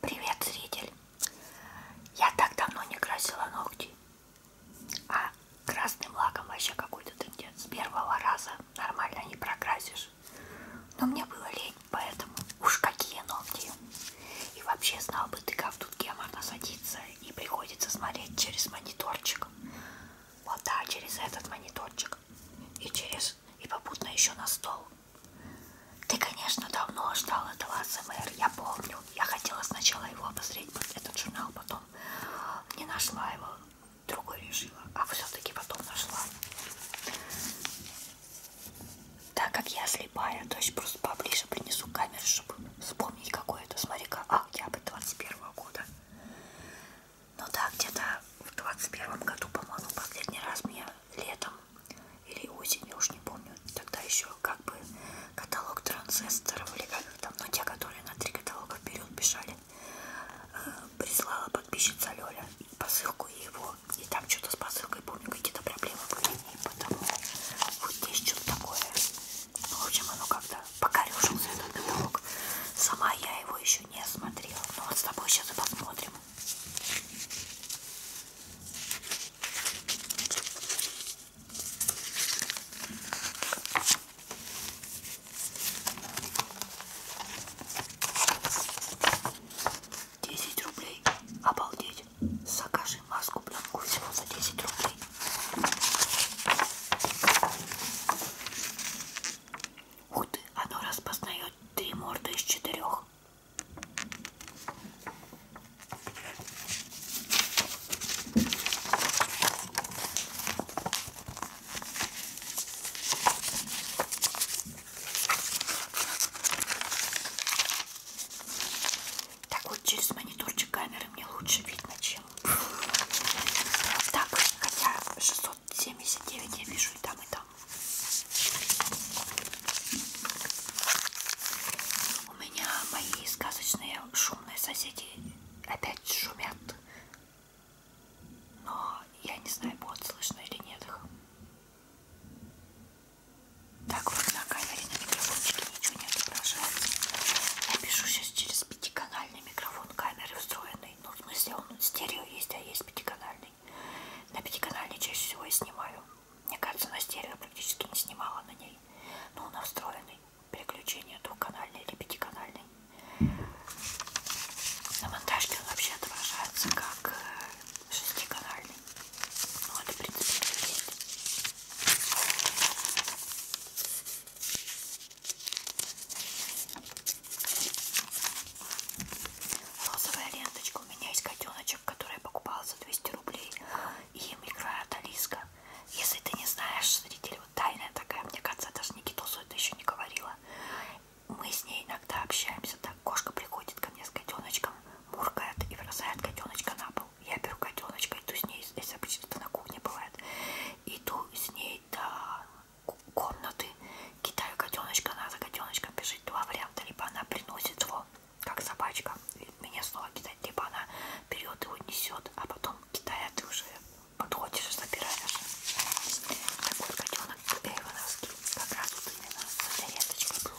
Привет, зритель! Я так давно не красила ногти, а красным лаком вообще какой-то трендец. С первого раза нормально не прокрасишь. Но мне было лень, поэтому уж какие ногти. И вообще знал бы ты, как тут геморно садиться и приходится смотреть через мониторчик. Вот да, через этот мониторчик. И через... и попутно еще на стол. Ты, конечно, давно ждал этого АСМР, я помню. Я хотела сначала его обозреть, этот журнал, потом не нашла его, другой решила, а все-таки потом нашла. Так как я слепая, то есть просто поближе принесу камеру, чтобы вспомнить, какой это. Смотри-ка, октябрь 21 -го года. Ну да, где-то в 21 году, по-моему, последний раз мне летом или осенью, уж не помню, тогда еще как бы каталог транзисторов или как там, но ну, те, которые на три каталога вперед бежали, э, прислала подписчица Лёля посылку его, и там что-то с посылкой, помню, какие-то проблемы были, и потому вот здесь что-то такое. Ну, в общем, оно как-то покорюшился этот каталог. Сама я его еще не смотрела, но вот с тобой сейчас и посмотрим. 10 рублей. Обалдеть. Закажи маску пленку всего за 10 рублей. Ух ты, оно распознает три морды из четырех. Так вот через мониторчик камеры мне лучше видно, чем так, хотя 679 я вижу и там, и там. У меня мои сказочные шумные соседи опять шумят. Но я не знаю, будет слышно или нет их. Так вот на камере на микрофончике ничего не отображается. Я пишу сейчас через пятиканальный микрофон камеры встроенный. Ну, в смысле, он стерео есть, а есть пятиканальный. На пятиканальной чаще всего и снимаю. Мне кажется, на стерео практически не снимала на ней. Но на встроенной переключение двухканальной или пятиканальной. На монтажке он вообще отображается как э, шестиканальный. Ну, это, в принципе, есть. Розовая ленточка у меня есть котеночек, который я покупала за 200 рублей, и им играет Алиска. Если ты не знаешь, зритель, вот тайная такая, мне кажется, я даже Никитусу это еще не говорила. Мы с ней иногда общаемся, так кошка приходит ко мне с котеночком, муркает и бросает котеночка на пол. Я беру котеночка, иду с ней, если обычно это на кухне бывает, иду с ней до комнаты, кидаю котеночка, она за котеночком бежит, два варианта, либо она приносит его как собачка. И меня снова кидать, либо типа, она берет его несет, а потом кидая ты уже подходишь и забираешь. Такой котенок эйвоновский, как раз вот именно с зарядочкой был.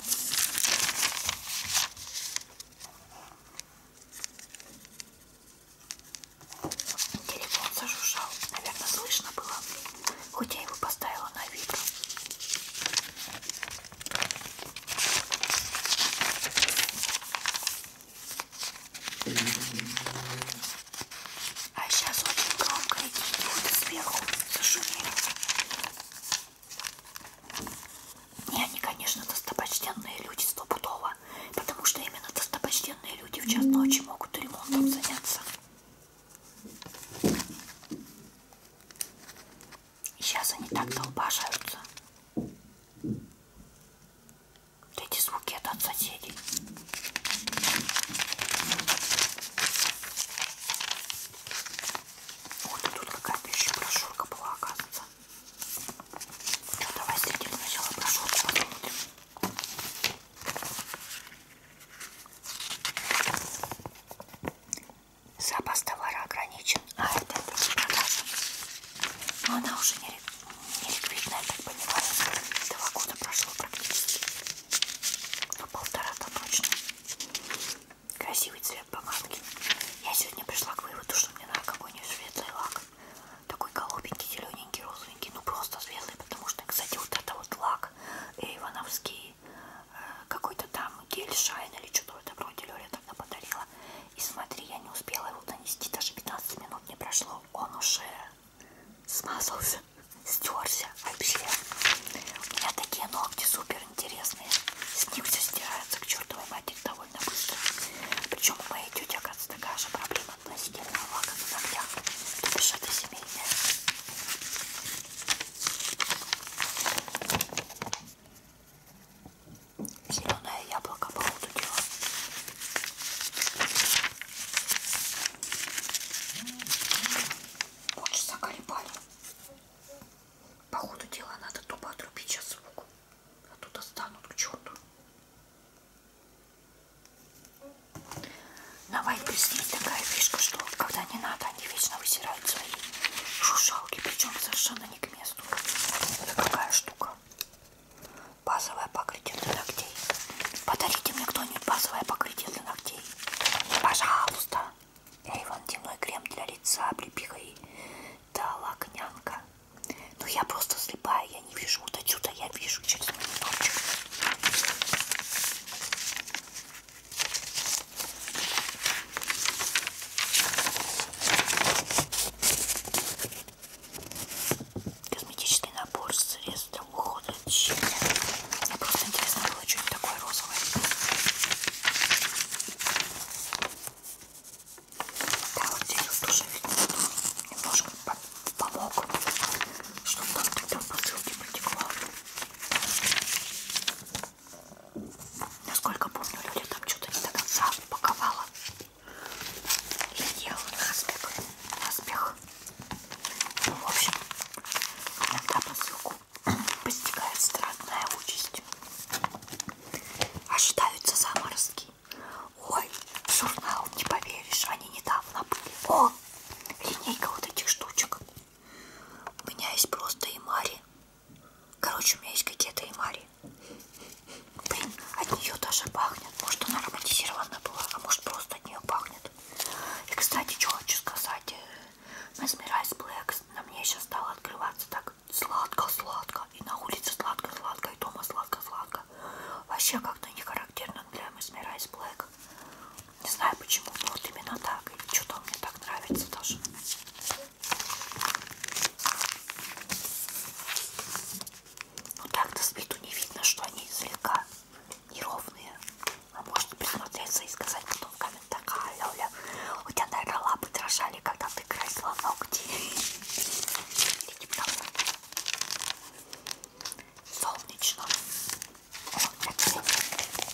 Телефон зажужжал, наверное, слышно было, хоть я его поставила на вибро. А сейчас очень громко и будет сверху зашумело. Не, они, конечно, достопочтенные люди стопудово, потому что именно достопочтенные люди в час ночи могут ремонтом заняться. Сейчас они так долбашаются. Вот эти звуки это от соседей. Вот и тут какая-то еще брошюрка была, оказывается. Ну, давай следим сначала брошюрку посмотрим запас товара ограничен, а это продажа. Но ну, она уже не, не ликвидная, я так понимаю. Два года прошло практически. Ну, полтора-то точно. Красивый цвет помадки. Я сегодня пришла к выводу, что мне надо какой-нибудь светлый лак. Такой голубенький, зелененький, розовенький. Ну, просто светлый, потому что, кстати, вот это вот лак ивановский какой-то там гель шайн или что-то вроде Лёля тогда подарила. И смотри, я не успела его донести, даже 15 минут не прошло. Он уже смазался, стерся вообще. У меня такие ногти супер интересные. С них все стирается к чертовой матери довольно быстро. Причем у моей тети, оказывается, такая же проблема относительно лака на ногтях. То бишь это семейное. Зеленое яблоко по ходу дела. Ночь заколебали. По ходу дела надо тупо отрубить сейчас звук. А тут останут к черту. Давай плюс есть такая фишка, что когда не надо, они вечно высирают убирают свои шушалки, причем совершенно не к месту. Это какая штука? Базовое покрытие для ногтей. Подарите мне кто-нибудь базовое покрытие для ногтей. Пожалуйста. Эйвон, темной крем для лица, облепиха и да, лакнянка. Ну я просто слепая, я не вижу. Вот отсюда я вижу через монитор. Косметический набор средств для ухода от щеки. Мне просто интересно было, что это такое розовое. Да, вот здесь вот тоже немножко помог, чтобы там тогда посылки протекла. Насколько помню, Люля там что-то не до конца упаковала. И делала наспех. Наспех. Ну, в общем, иногда посылку постигает странная участь. Ожидаются а заморозки. Ой, журнал, не поверишь, они недавно были. О, линейка вот этих штучек. У меня есть просто и Мари Короче, у меня есть какие-то эмари. Блин, от нее даже пахнет. Может, она ароматизирована была, а может, просто от нее пахнет. И, кстати, что хочу сказать. Э, Mesmerize Black на мне сейчас стало открываться так сладко-сладко. И на улице сладко-сладко, и дома сладко-сладко. Вообще как-то не характерно для Mesmerize Black. Не знаю почему, но вот именно так. И что-то мне так нравится даже. Ну так-то с виду не видно, что они слегка неровные. А можно присмотреться и сказать потом в комментариях, а, Лёля, у тебя, наверное, лапы дрожали, когда ты красила ногти. Солнечно.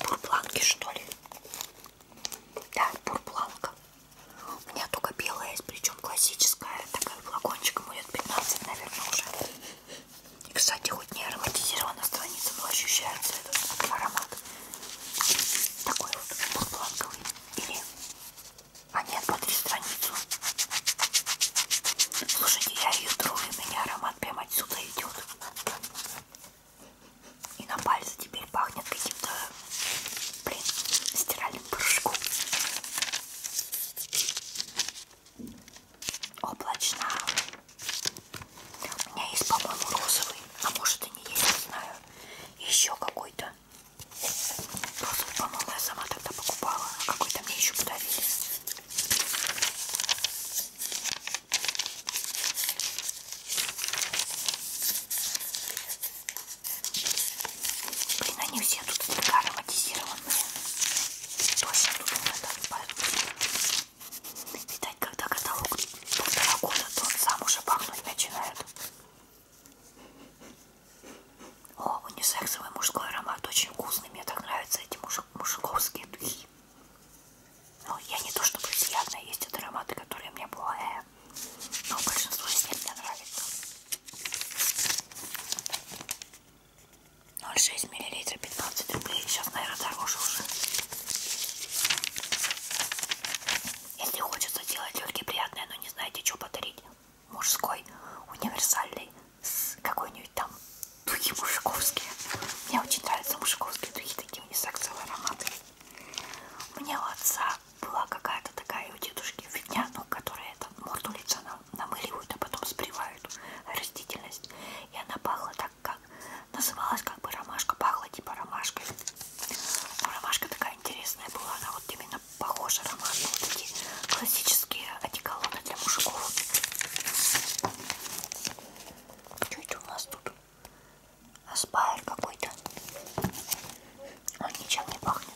Бурбланки, что ли? Да, бурбланка. У меня только белая есть, причем классическая. Такая флакончиком будет 15, наверное, уже. И, кстати, хоть не ароматизирована страница, но ощущается этот аромат. Такой вот бурбланковый. Или... А нет, смотри страницу. Слушайте, я ее тру, и меня аромат прямо отсюда идет. И на пальце теперь пахнет каким-то, блин, стиральным порошком. Облачно. У меня есть, по-моему, розовый, а может и не есть, не знаю. Еще какой-то. Розовый, по-моему, я сама тогда покупала, а какой-то мне еще подарили. Блин, они все тут так ароматизированные. Точно тут надо Видать, когда каталог полтора года, то он сам уже пахнуть начинает. О, унисексовый мужской аромат очень вкусный. Мне так нравятся эти муж... мужиковские духи. Ну, я не то чтобы приятная, есть вот ароматы, которые мне плохие, но большинство из них мне нравится. 0,6 мл, 15 рублей, сейчас, наверное, дороже уже. Если хочется делать легкие приятные, но не знаете, что подарить, мужской, универсальный, с какой-нибудь там духи мужиковские. Мне очень нравятся мужиковские духи, такие унисексовые ароматы. У меня у отца была какая-то такая у дедушки фигня, ну, которая там морду лица намыливают, а потом сбривают растительность. И она пахла так, как называлась как бы ромашка, пахла типа ромашкой. Ну, ромашка такая интересная была, она вот именно похожа ромашка. Вот эти классические одеколоны для мужиков. Что это у нас тут? Аспайр какой-то. Он ничем не пахнет.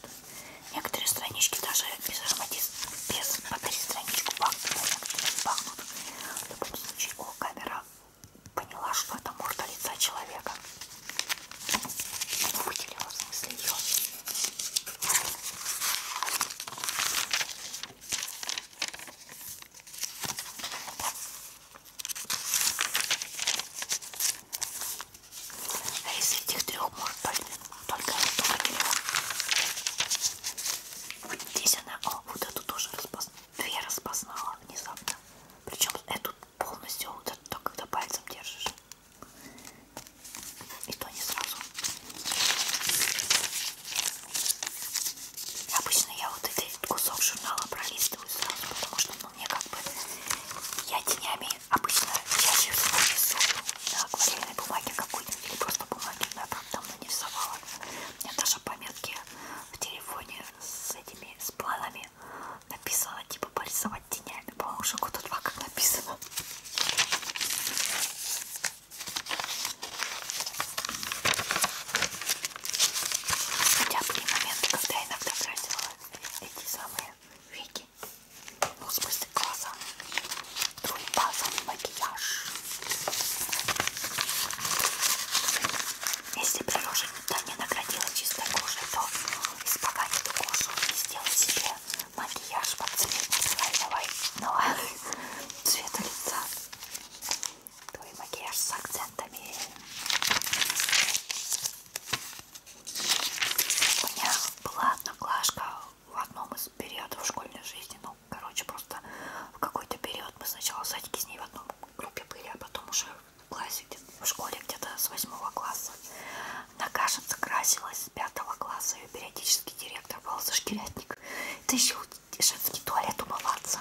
Некоторые странички даже без ароматизма, без потери страничку пахнут, некоторые пахнут. В любом случае, о, камера поняла, что это морда лица человека. Ну, выделила, в смысле, ее. А из этих трех может только, только вот здесь она, о, вот эту тоже распоз... две распознала внезапно. Причем эту полностью, вот эту, только когда пальцем держишь. И то не сразу. Обычно я вот этот кусок журнала пролистываю сразу, потому что поэтому мне как бы я тенями обычно чаще всего рисую на акварельной бумаге какой-нибудь или просто бумаги, но я там давно не рисовала. У меня даже пометки в телефоне с этими с планами написано типа порисовать тенями, по-моему, уже года два как написано. Хотя были моменты, когда я иногда тратила эти самые веки, ну в смысле глаза, труба, самый макияж. Если приложение не наградила чистой кожей, то испоганит кожу и сделай себе макияж под цвет цельного ну, цвета лица. То и макияж с акцентами. У меня была одноклашка в одном из периодов школьной жизни. Ну, короче, просто в какой-то период мы сначала в садике с ней в одном группе были, а потом уже в классе, в школе где-то с восьмого класса. Она, кажется, красилась с пятого класса, и периодически директор был зашкирятник. Ты еще женский туалет умываться.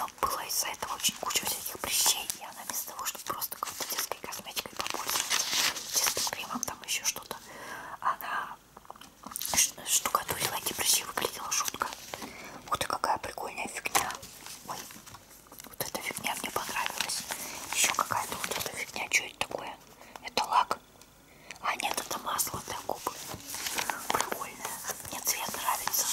Ну, было из-за этого очень куча всяких прыщей, и она вместо того, чтобы просто какой-то детской косметикой попользоваться, чистым кремом, там еще что-то, она штукатурила эти прыщи, выглядела жутко. Ух ты, какая прикольная фигня. Ой, вот эта фигня мне понравилась. Еще какая-то вот эта фигня, что это такое? Это лак. А нет, это масло для губ. Прикольное. Мне цвет нравится.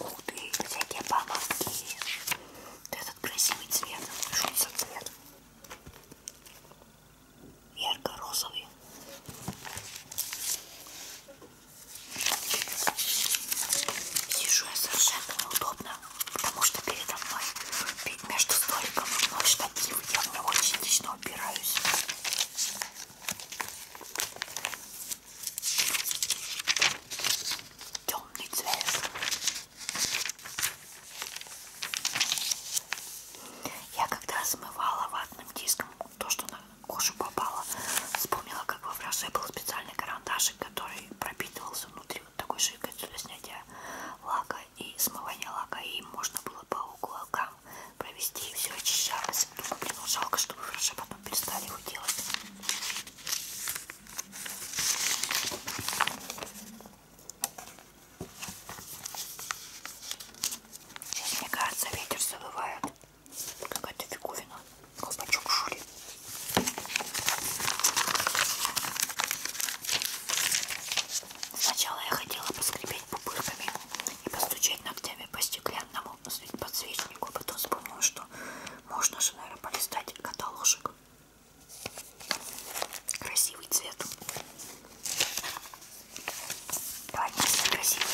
Ух ты, всякие бабочки. Этот красивый цвет, что за цвет? Ярко-розовый. Сижу я совершенно неудобно, потому что передо мной, между столиком и мной штатив, я мне очень лично я упираюсь. Темный цвет. Я когда смывала ватным диском то, что на кожу попало, вспомнила, как во фраже был специальный карандашик, который пропитывался внутри вот такой жидкостью для снятия лака и смывание лака, и можно было по уголкам провести, и все очищалось. Думаю, блин, жалко, что мы хорошо потом перестали его делать. Сейчас, мне кажется, ветер завывает. Какая-то фиговина. Колпачок шурит. Сначала я хотела поскребеть ударить пупырками и постучать ногтями по стеклянному подсвечнику. А потом вспомнил, что можно же, наверное, полистать каталожек. Красивый цвет. Давай, все красивые.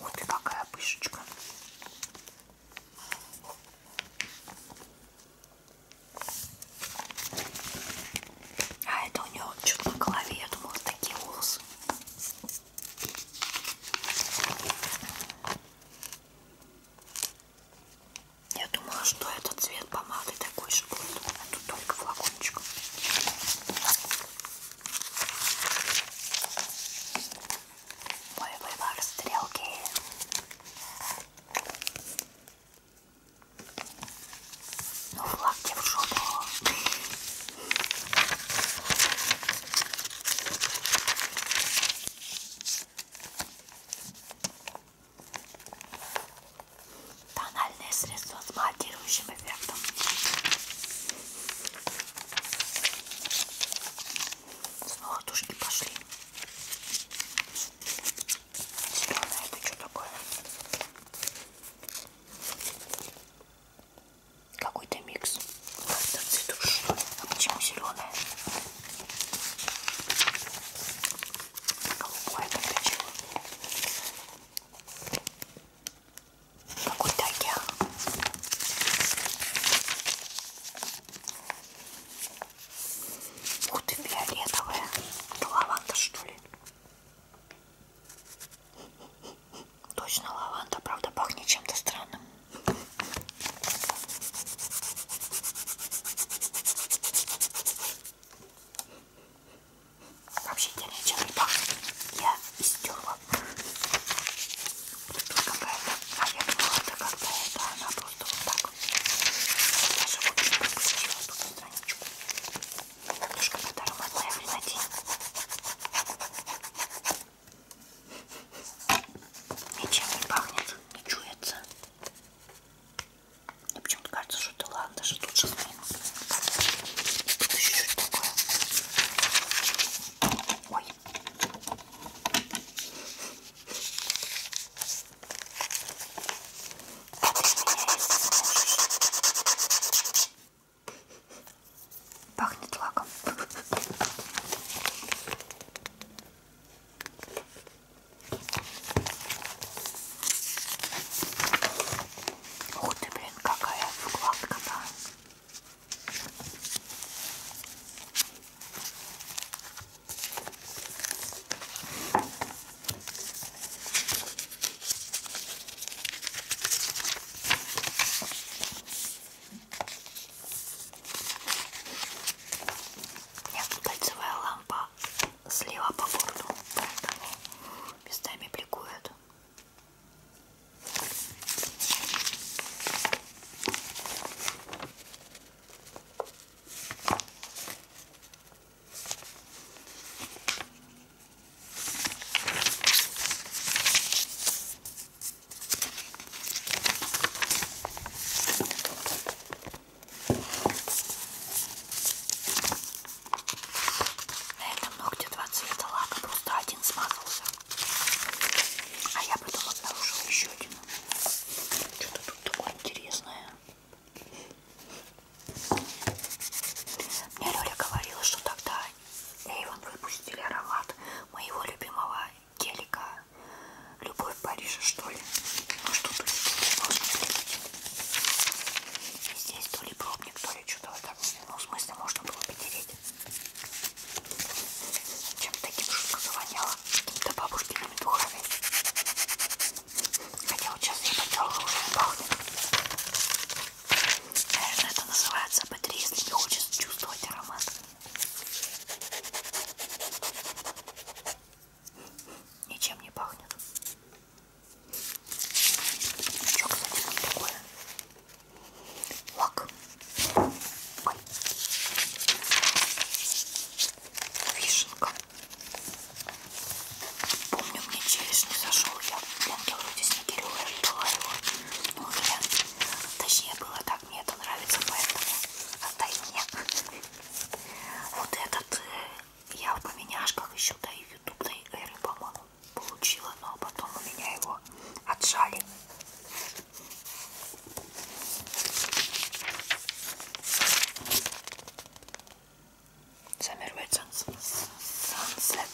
Вот и какая пышечка. А это у него что-то на голове, я думала, такие волосы. Я думала, что этот цвет помады такой же будет. А тут только флакончик. Мой выбор стрелки. Ну, флаг тебе в жопу. Тональное средство с матирующим эффектом. Снова тушки пошли. Зеленое, это что такое? Какой-то микс. Как-то цветушный. А почему зеленая? Голубое подключило. Какой-то океан. Ух ты, фиолетовая. Это лаванда, что ли? Точно лаванда, правда, пахнет чем-то странным. Вообще я ничем не пахнет. Я истерла. Тут какая-то авиаплата какая-то, она просто вот так. Даже вот не пропустила тут страничку. Подушка под ароматное принадень. Ничем не пахнет, не чуется. Мне почему-то кажется, что это ладно, даже тут же Тут еще чуть-чуть такое. Ой. А Пахнет лаком. Ух ты, блин, какая вкладка-то. Кольцевая лампа слева по борту, поэтому местами бликует. На этом ногте два цвета лака, просто один смазался. А я потом обнаружила еще один. Что-то тут такое интересное. Мне Лёля говорила, что тогда и вот выпустили аромат моего любимого гелика. Любовь Парижа, что ли? Ну что тут И здесь то ли пробник, то ли что-то вот так. Ну, в смысле, можно было потереть. Чем-то таким жутко завоняло. Какими-то бабушкиными духами. Хотя вот сейчас я потерла, уже не пахнет. Наверное, это называется батарея, если не хочется чувствовать аромат. Ничем не пахнет. Что, кстати, там такое? Лак. Ой. Вишенка. Помню, мне челюсть не зашел. Я в вроде снегиревая отдала его. Ну, я, точнее было так, мне это нравится, поэтому отдай мне. Вот этот э, я в поменяшках еще до ютубной эры, по-моему, получила, но потом у меня его отжали. Замервает Johnson Sunset.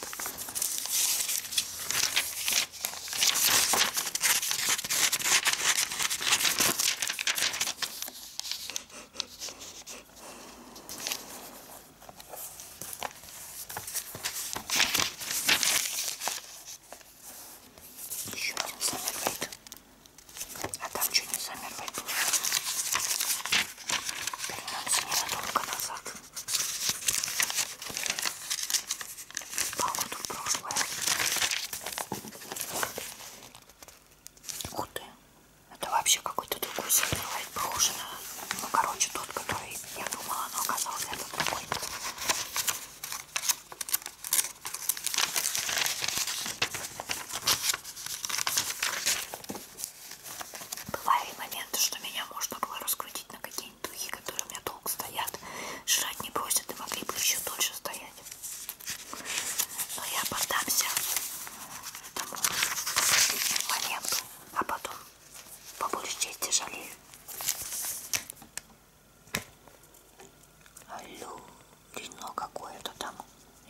Еще один Саммервейт. А там что не Саммервейт был? Вернемся ненадолго назад. Погоду в прошлое. Ух ты. Это вообще какой-то другой сервер, похоже на... Ну, короче, тот, который я думала, но оказался этот другой бывали моменты, что меня можно было раскрутить на какие-нибудь духи, которые у меня долго стоят, жрать не просят и могли бы еще дольше стоять. Но я поддамся этому моменту, а потом по большей части жалею. Алло, длинно какое-то там.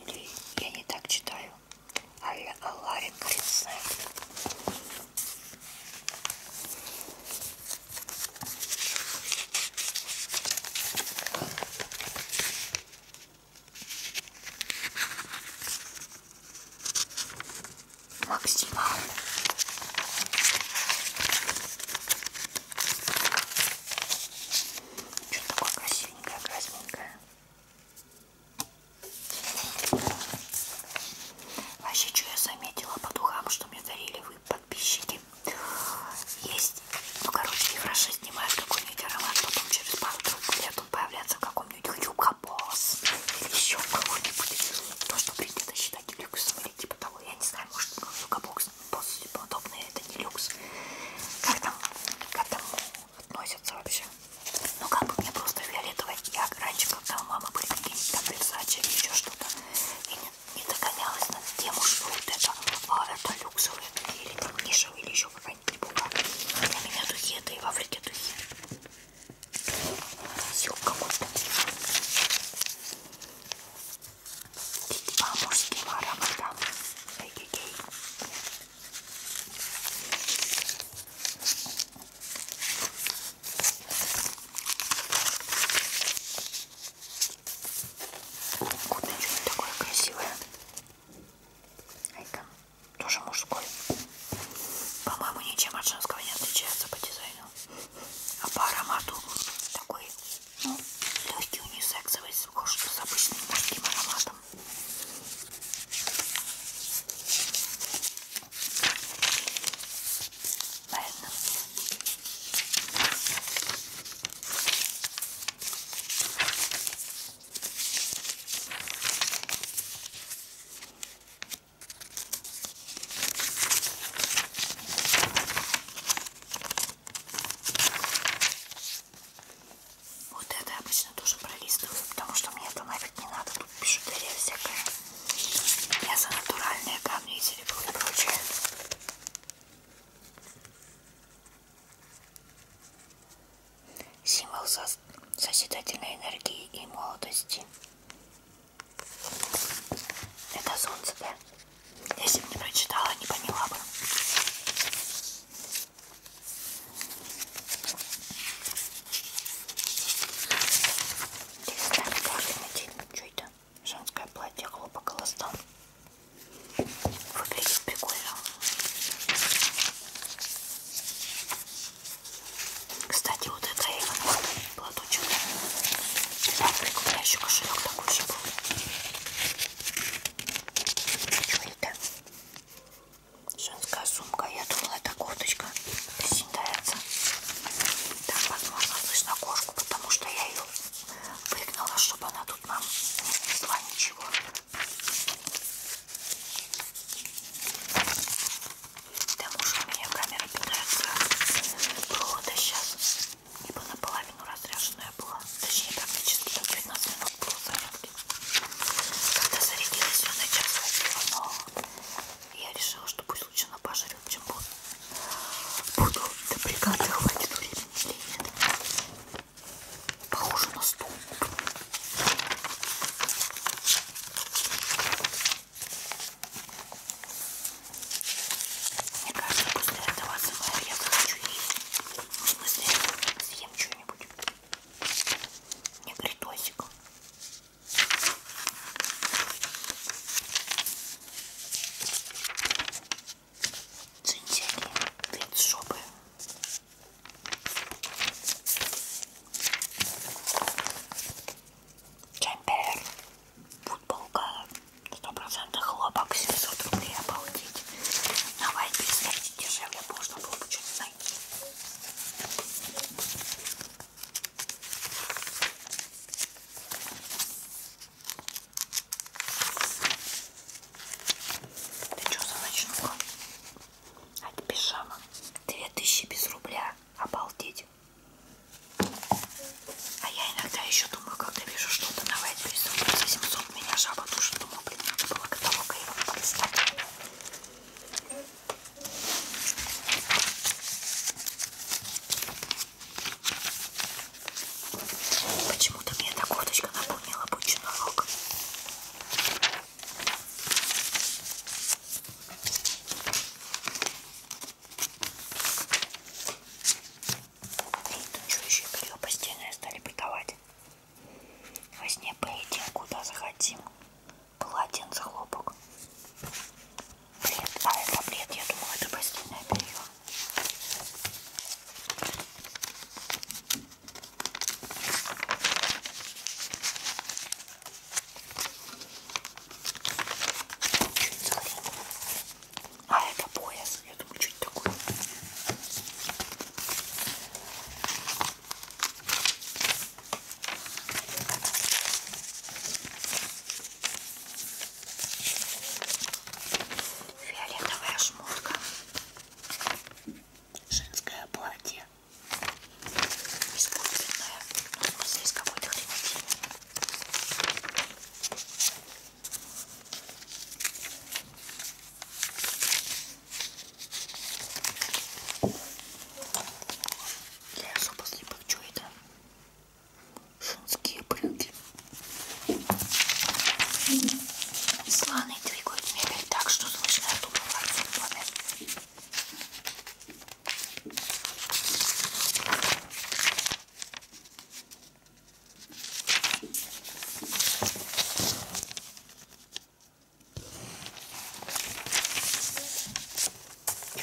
Или я не так читаю. Алларин, а хрен знает. Максима. Что такое красивенькое, красненькое. Вообще, что я заметила по духам, что мне дарили вы, подписчики. Есть, ну, короче, не хорошо снимают какой-нибудь аромат, потом через пару-тройку лет он появляется в каком-нибудь хрюкобос или еще кого-нибудь. То, что принято считать люксом или типа того, я не знаю, может, ну, хрюкобос, босс типа, и подобное, это не люкс. Как там к этому относятся вообще? но ну, как бы мне просто фиолетовая я раньше когда у мамы были какие-нибудь там Versace или еще что-то я не, не догонялась на тему что вот это а это люксовые или там нишевые или еще какая-нибудь бука для меня духи это и в Африке духи сюк какой-то по а, мужским ароматам Эй, эй, эй. Куда что-нибудь такое красивое. А это тоже мужской. По-моему, ничем от женского не отличается по дизайну. А по аромату такой, ну, легкий унисексовый, схож с обычным мужским ароматом. Ладно. Вот это обычно тоже пролистываю, потому что мне это нравится смешивать не надо, тут пижутерия всякая. Я за натуральные камни, серебро и прочее. Символ сос созидательной энергии и молодости. Это солнце, да? Если бы не прочитала, не поняла бы. Здесь нами каждый день что это? Женское платье хлопок ластан. Выглядит прикольно. Кстати, вот это Эйвен платочек. Завтрак у меня еще кошелек такой же был. Что это? Женская сумка. Я думала, это курточка считается. Там, возможно, слышно кошку, потому что я ее выгнала, чтобы она тут нам не принесла ничего. Да, муж, у меня камера питается провода сейчас, ибо наполовину разряженная была. Точнее, практически там 15 минут было зарядки. Когда зарядилась, я на час ходила, но я решила, что пусть лучше на пожар жарю, чем буду. Буду допрягаться, хватит времени или нет. Похоже на стул. Мне кажется, после этого СМР я захочу есть. В смысле, съем что-нибудь. Не притосик. Джинсели, вид шубы. Джемпер, футболка, 100% хлопок, 700 рублей, обалдеть. На Вайбе, дешевле можно было бы что-то найти. Ты что за ночнуха? А это пижама. Две тысячи без рубля. Обалдеть. А я иногда еще думаю, когда вижу что-то на Вайтберрис за 700, меня жаба душит. Думаю, блин, надо было каталога его полистать. Почему-то мне эта курточка напомнила обычный ног. Танцующие белье постельное стали бытовать. Во сне полетим, куда захотим полотенце хлопок. Бред. А это бред, я думала, это постельное белье. А это пояс, я думаю, чуть такой. Фиолетовая шмотка. Женское платье. Искусственное. Ну, в смысле, из какой-то хренотины. Для особо слепых чует. шумские брюки. Слоны е двигают мебель так, что слышно от угла в доме.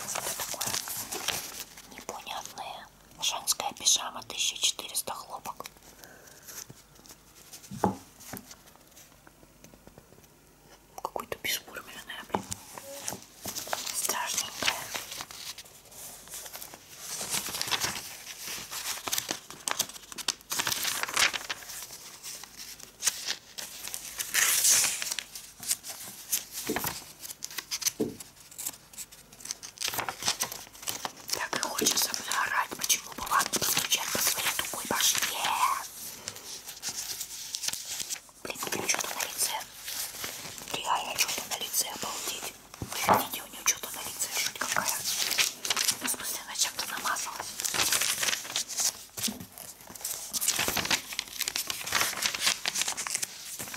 Что такое? Непонятное. Женская пижама 1400 хлопок. Какой-то бесформенная, блин. Страшненькая. Так и хочется орать, почему бы вам не постучать по своей тупой башне? Блин, у нее что-то на лице. Реально что-то на лице, обалдеть. Вы видите, у нее что-то на лице, жуть какая. Ну, в смысле, она чем-то намазалась.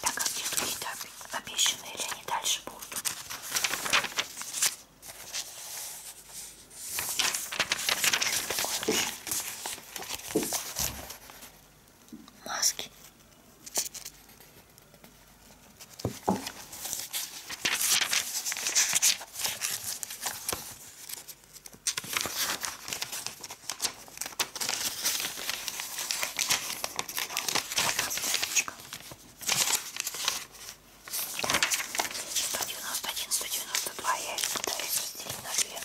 Так, а где другие-то обещаны или они дальше будут? Маски. 191, 192 я их пытаюсь разделить на две.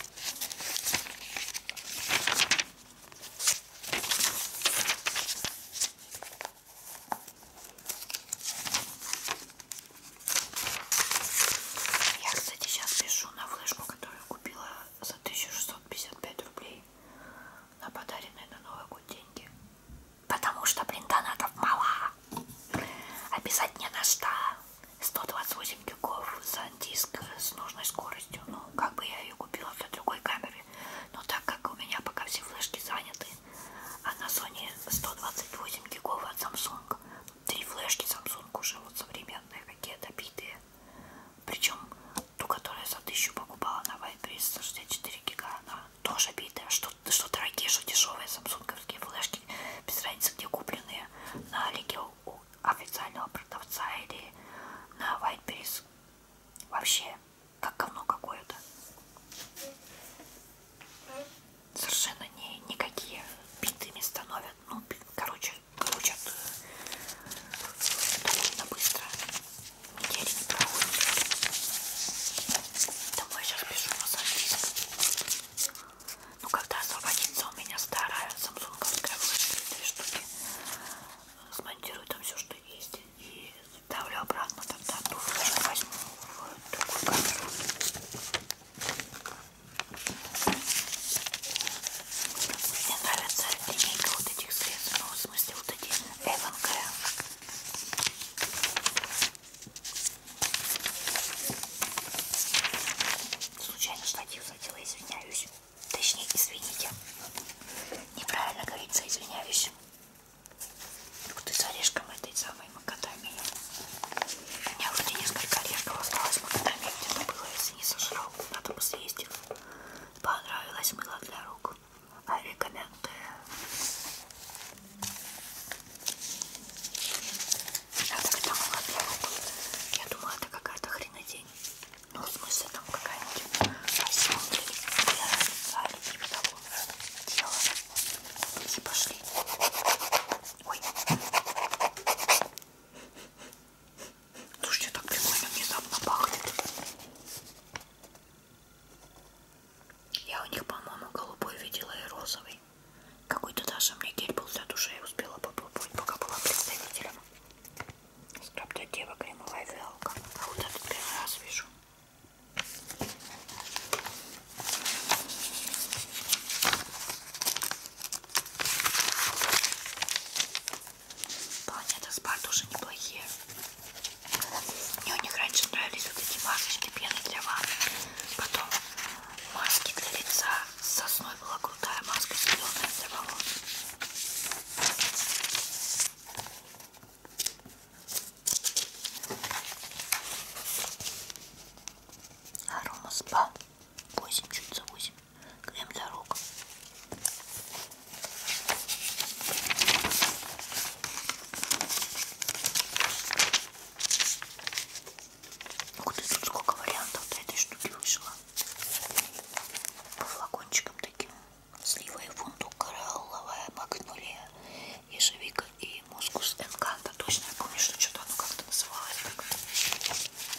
Я, кстати, сейчас пишу на флешку, которую купила за 1655 рублей на подаренные на Новый год деньги. Потому что, блин, донатов мало. Описать не на что. 128 дюков за диск с нужной скоростью. Ну, как бы я ее купила для другой камеры. Но так как у меня пока все флешки заняты, а на Sony 128 гигов от Samsung. Три флешки Samsung уже вот современные, какие-то битые. Причем ту, которую я за тысячу покупала на Вайбрис 64 гига, она тоже битая. Что, что дорогие, что дешевые самсунговские флешки, без разницы где купленные, на Алике у официального продавца или на Вайтберис. Вообще, как говно какое-то. Совершенно не, никакие битыми становят. Ну, короче, короче, короче, довольно быстро. Недели не проходит. Домой сейчас пишу на английском. Ну, когда освободится у меня старая самсунговская вышка, две штуки, смонтирую там все, что есть, и ставлю обратно тогда ту флешку возьму в другую камеру. Мне нравится линейка вот этих средств, ну, в смысле, вот эти Эван Случайно штатив задела, извиняюсь. Точнее, извините. Неправильно говорится, извиняюсь. Ух ты, с орешком этой самой макадамии. У меня вроде несколько орешков осталось макадамии где-то было, если не сожрал. Надо бы съесть их понравилось мыло для рук. I recommend. А так это мыло для рук. Я думала, это какая-то хренотень. Ну, в смысле, там какая-нибудь осенка или типа того дела. И пошли. Ой. Слушайте, так прикольно внезапно пахнет. Я у них, по-моему, голубой видела и розовый. Какой-то даже мне гель был для души, я успела попробовать, пока была представителем. Скраб для девок, кремовая фиалка. А вот этот первый раз вижу. Планета Спа тоже неплохие. Мне у них раньше нравились вот эти масочки пены для ванны. Потом маски для лица. С сосной была крутая маска зеленая для волос. Арома Спа. 8 чуть за 8 крем для рук. Ух ну, ты, сколько вариантов-то этой штуки вышло. По флакончикам таким. Слива и фундук, коралловая, магнолия, ежевика и мускус энканта. Точно я помню, что что-то оно как-то называлось. Так.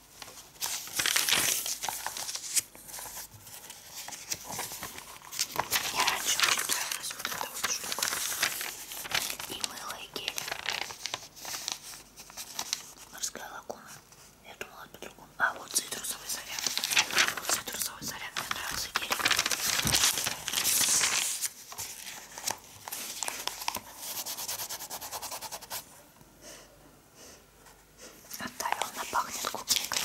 Мне раньше очень нравилась вот эта вот штука. И мыло, и гель. Морская лагуна. Я думала по-другому. А, вот цитрусовый заряд. Вот цитрусовый заряд. Мне нравился гелик. Оставил на пахнет клубникой.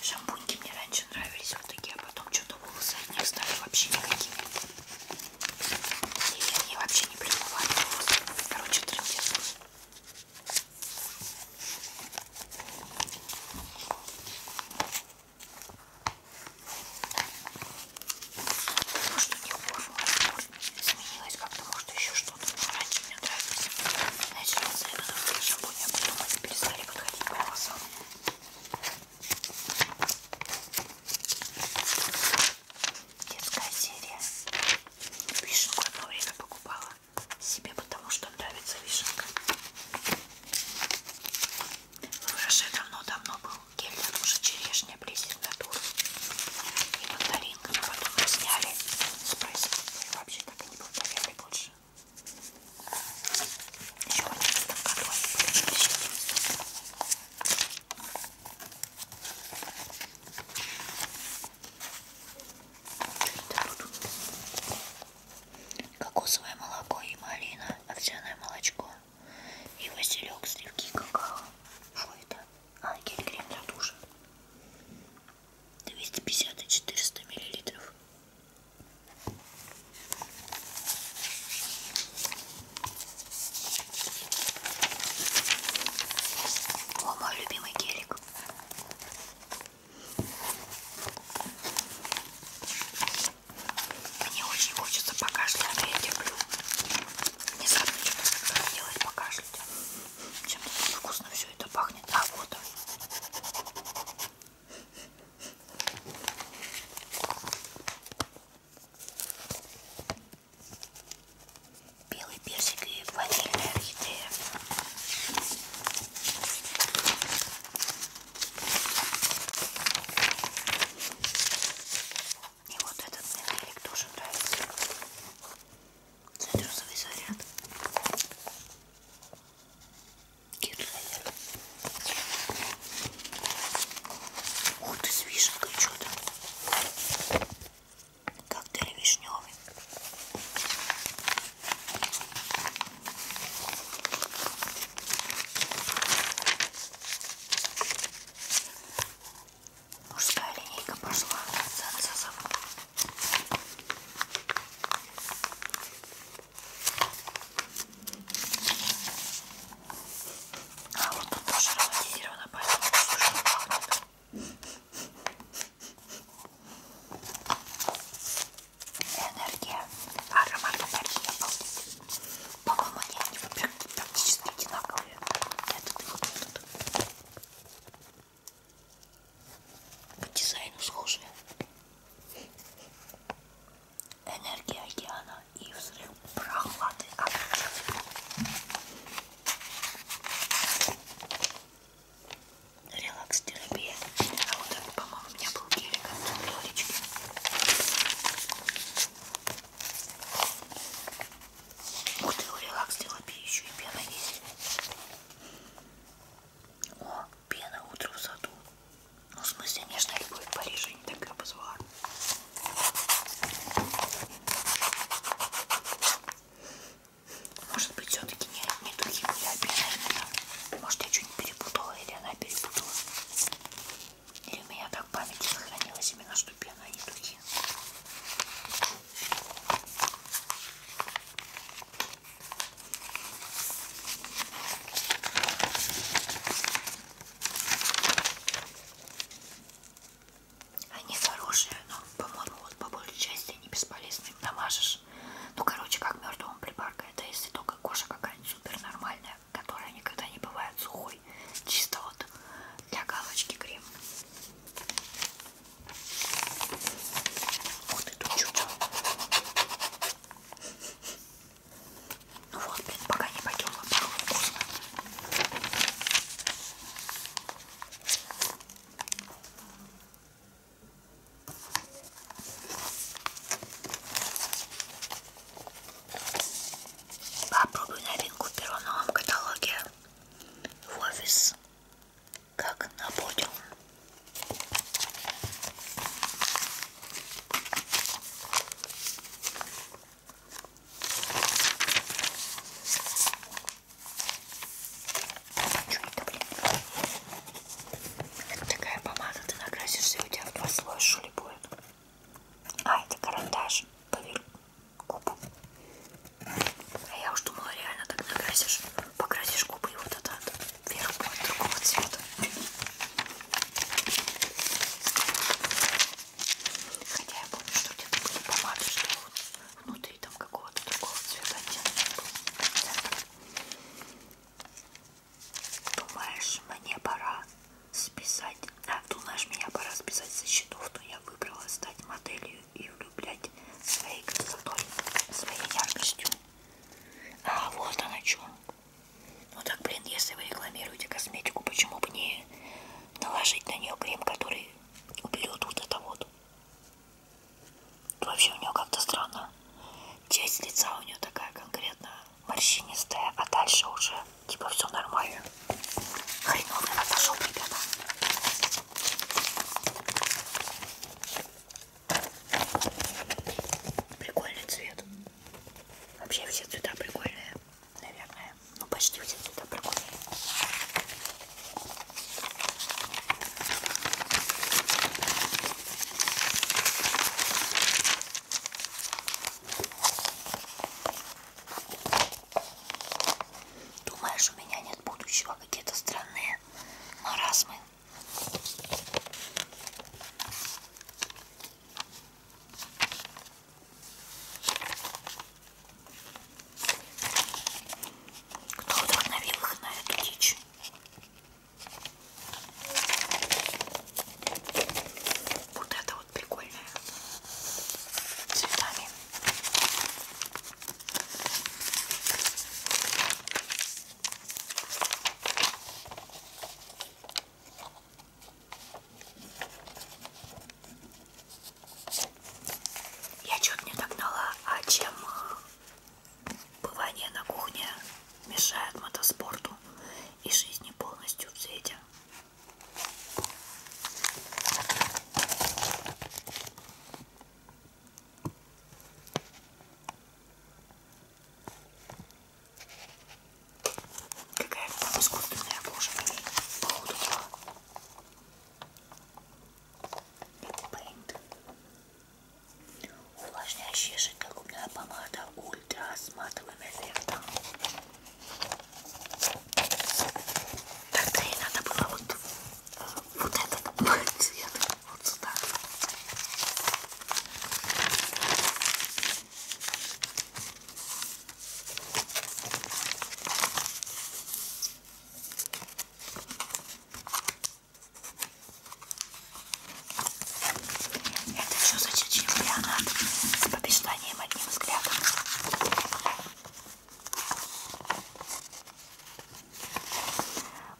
Шампуньки мне раньше нравились вот такие, а потом что-то волосы от них стали вообще никакие. И они вообще не промывали волосы. Короче, трындец. Может, у них формула изменилась как-то, может, еще что-то. Но раньше мне нравились. Значит, наверное, шампунь, а потом они перестали подходить к волосам. Детская серия. Вишенку одно время покупала себе, потому что нравится вишенка. В Роше давно-давно был гель для душа черешня, плесень натур и мандаринка. Но потом их сняли с производства и вообще так и не повторяли больше. Еще в 11 году они были запрещены в СССР. Кокосовое молоко и малина, овсяное молочко и василек, сливки и какао. Что это? А, гель крем для душа. 250-400 миллилитров. О, мой любимый гелик. Мне очень хочется покашлять, я люблю. Внезапно что-то делать покашлять. Чем-то вкусно все это пахнет. А вот он белый персик и ванильная орхидея. И вот этот метелик тоже нравится. Цитрусовый заряд. Кит заряд. Ух ты, с вишенкой что-то. Коктейль вишневый. Мужская линейка пошла с анцезом. А вот тут тоже ароматизировано, поэтому сушно пахнет. Энергия. Аромат энергии обалдеть. По-моему, они, они практически одинаковые. Этот и вот этот. По дизайну схожие энергия океана и взрыв прохлады релакс терапия а вот это по-моему у меня был гелик от а Лёлечки ух ты, у релакс терапии еще и пена есть о, пена утро в саду ну, в смысле, нежная любовь в Париже, не так ее позвала. Может быть, все-таки не, не духи были обязательно. Может, я что-нибудь перепутала, или она перепутала. Или у меня так память сохранилась именно, что пена, а не духи. Они хорошие, но, по-моему, вот по большей части они бесполезны. Им намажешь. Ну, короче, как мертвому прибарка. Это если только кожа какая-нибудь супер нормальная, которая никогда не бывает сухой. Чисто вот для галочки крем. Вот эту чуть-чуть. Ну вот, блин, пока не потерла, пахло вкусно. Попробую новинку в первом новом каталоге в офис, как на подиум. Что это, блин? Это такая помада, ты накрасишься, у тебя в два слоя шули будет. А, это карандаш. Поверь губы. А я уж думала, реально так накрасишь. Покрасишь губы и вот это вверх будет другого цвета. Хотя я помню, что где-то были помады, что вот внутри там какого-то другого цвета оттенок был. Думаешь, мне пора списать. А, думаешь, меня пора списать со счетов, то я выбрала стать моделью и влюблять своей красотой, своей яркостью. А вот она что. Ну так, блин, если вы рекламируете косметику, почему бы не наложить на нее крем, который уберет вот это вот? Вообще у нее как-то странно. Часть лица у нее такая конкретно морщинистая, а дальше уже типа все нормально. Хреновый отошел, ребята. Прикольный цвет. Вообще все цвета прикольные наверное. Ну, почти все туда прокурили. Думаешь, у меня нет будущего? Какие-то странные маразмы. Кто вдохновил их на эту дичь? Вот это вот прикольное. Цветами. Я чуть не догнала, а чем э, бывание на кухне мешает мотоспорту и жизни полностью в цвете. Какая-то там искусственная кожа походу Paint. Увлажняющая жидкая губная помада ультра с матовым эффектом. Тогда ей надо было вот, э, вот этот цвет вот сюда. Это все зачерчил Леонард с побежданием одним взглядом.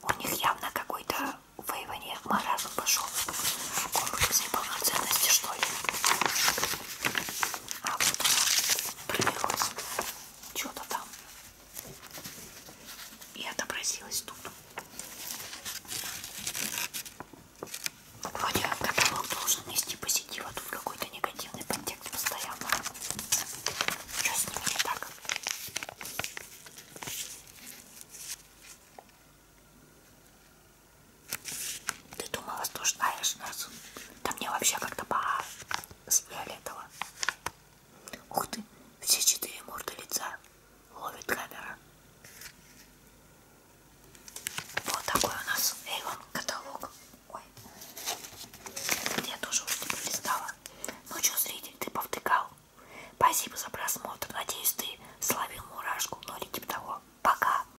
У них явно какой-то воевание маразм пошел. Комплекс неполноценности, что ли? А вот она прилилась что-то там и отобразилась тут. Вроде каталог должен нести позитив, а тут какой-то негативный подтекст постоянно. Что с ними не так? Ты думала, что знаешь нас? Да мне вообще как-то по с фиолетово. Ух ты, все четыре морды лица ловит камера. Вот такой у нас Эйвон каталог. Ой, я тоже уж не типа пролистала. Ну что, зритель, ты повтыкал? Спасибо за просмотр. Надеюсь, ты словил мурашку. Ну или типа того. Пока.